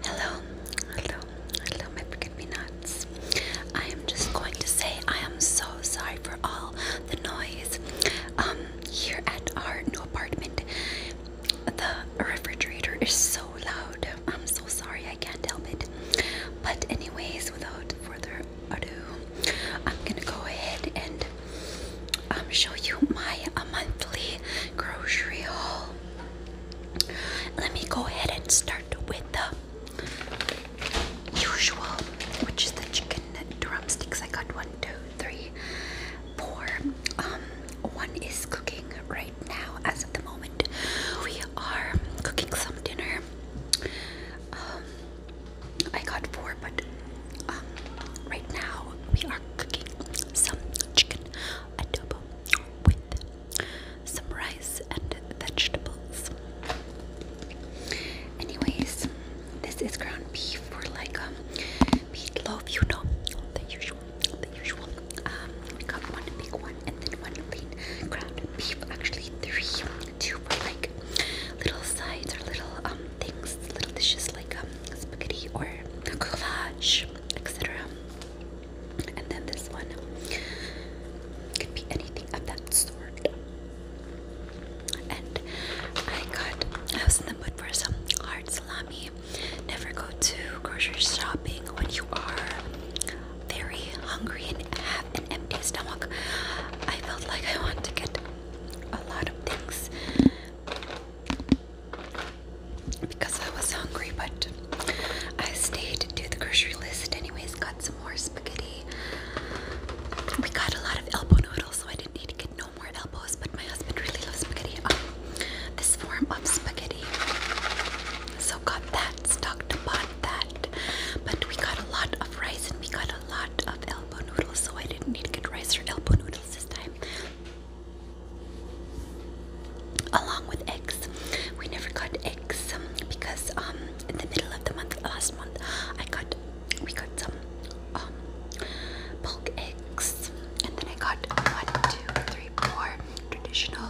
Hello, hello, hello, my forget me nuts. I am just going to say I am so sorry for all the noise um, here at our new apartment the refrigerator is so loud. I'm so sorry, I can't help it. But, anyways, without further ado, I'm gonna go ahead and um, show you my uh, monthly grocery haul. Let me go ahead and start with the usual, which is the chicken drumsticks. I got one, two, three, pour. Um, one is cooking right now, as of the moment. We are cooking some dinner. Um, I got four, but um, right now we are cooking some chicken adobo with some rice and vegetables. Anyways, this is ground beef for like um, meatloaf, you know, the usual the usual. Um, we got one big one and then one lean ground beef. Actually, three, two were like little sides or little um, things, little dishes like um, spaghetti or goulash, etc. And then this one could be anything of that sort. And I got, I was in the mood for some hard salami never go to grocery shopping when you are very hungry and have an empty stomach. I felt like I want to get a lot of things because I was hungry, but I stayed to the grocery list anyways, got some more spaghetti. We got a lot of elbow noodles, so I didn't need to get no more elbows, but my husband really loves spaghetti. Um, this form of spaghetti. So got that, stocked upon that. But we got a lot of rice and we got a lot of elbow noodles, so I didn't need to get rice or elbow noodles this time. Along with eggs. We never got eggs um, because um in the middle of the month last month I got we got some bulk eggs, and then I got one, two, three, four traditional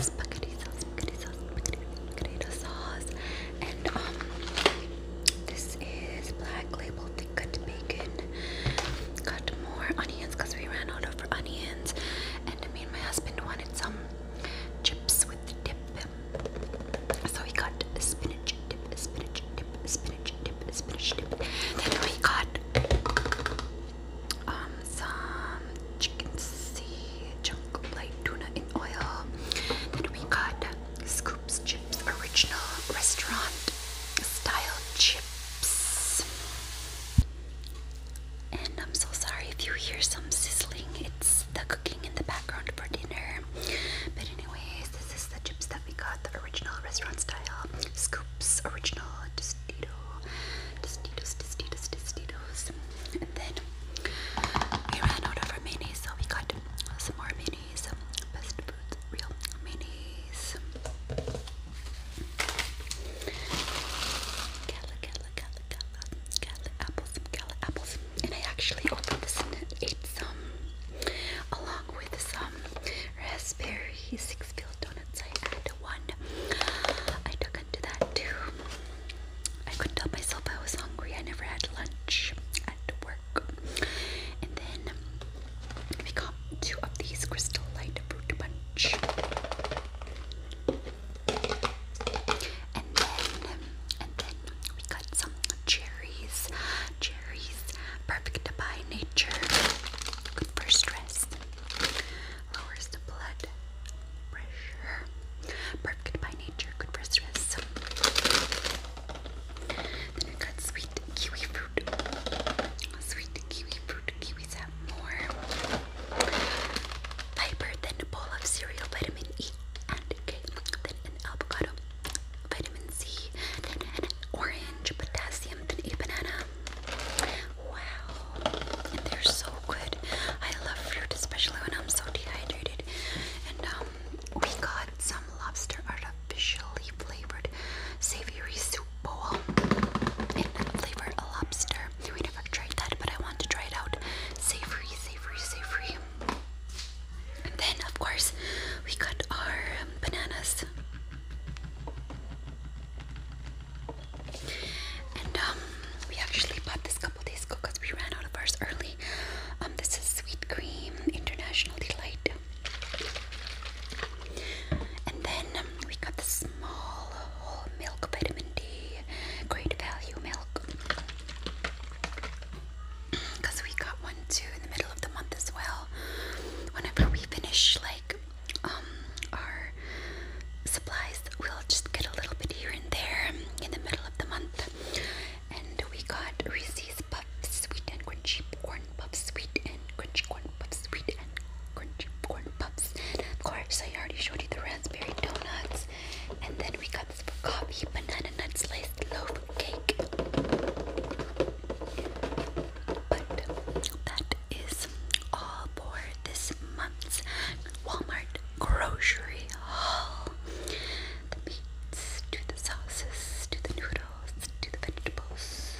spaghetti sauce, spaghetti sauce, spaghetti, sauce, and um, this is black label thick-cut bacon. Got more onions because we ran out of onions, and me and my husband wanted some chips with the dip. So we got spinach dip, spinach dip, spinach. Then we got um, some chicken sea chunk light tuna in oil. Then we got Scoops Chips Original Restaurant Style Chips. And I'm so sorry if you hear some sizzling. It's the cooking in the background for dinner. But anyways, this is the chips we got the original restaurant style scoops, original tostito, tostitos, tostitos, tostitos. And then we ran out of our mayonnaise, so we got some more mayonnaise. Best Foods real mayonnaise. Gala, gala, gala, gala, gala apples, gala apples. And I actually opened this and ate some along with some um, raspberry six field donuts. I had one. I took into that too. I couldn't tell myself I was hungry. I never had lunch at work. And then we got two of these crystal light fruit punch. And then, and then, then we got some cherries. Cherries, perfect by nature, good for stress, lowers the blood pressure. Perfect by nature, good for stress. Then I got sweet kiwi fruit. Sweet kiwi fruit. Kiwis have more fiber than a bowl of cereal, vitamin E and K, than an avocado vitamin C, then orange, potassium, and a banana. Wow, and they're so good. I love fruit, especially when I'm so dehydrated. And um, we got some lobster artificially flavored savory soup bowl in flavor a lobster. We never tried that, but I want to try it out. Savory, savory, savory. And then, of course, we got our um, bananas. And um, we actually bought this couple days ago because we ran out of ours early. Um, this is Sweet Cream International Delight. And then um, we got the small whole milk vitamin D, great value milk because we got one too in the middle of the month as well. Whenever we finish like um our supplies, we'll just get a little bit here and there in the middle of the month. And we got Reese's Puffs, Sweet and Crunchy Corn Puffs, Sweet and Crunchy Corn Puffs, Sweet and Crunchy Corn Puffs. Of course, I already showed you the raspberry donuts, and then we got for coffee, banana nut sliced loaf cake. But that is all for this month's Walmart grocery haul. The meats, to the sauces, to the noodles, to the vegetables,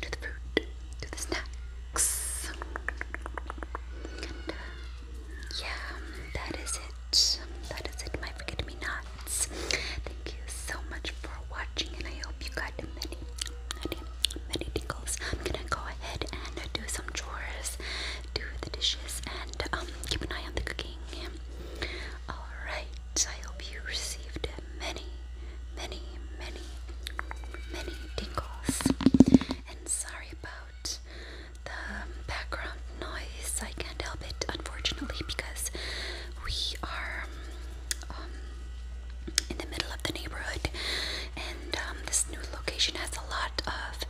to the fruit, to the snacks. Uh, yeah, that is it. That is it, my forget me not. Thank you so much for watching, and I hope you got many, many, many tickles. I'm gonna go ahead and do some chores, do the dishes, and um, keep an eye on the cooking. All right. I hope you received many, many, many, many tickles. And sorry about the background noise. I can't help it, unfortunately, because we are um, in the middle of the neighborhood, and um, this new location has a lot of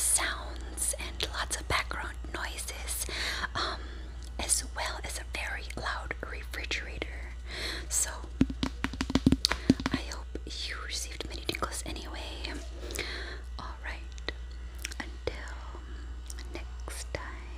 sounds and lots of background noises, um, as well as a very loud refrigerator. So, I hope you received many tingles anyway. Um, Alright, until next time.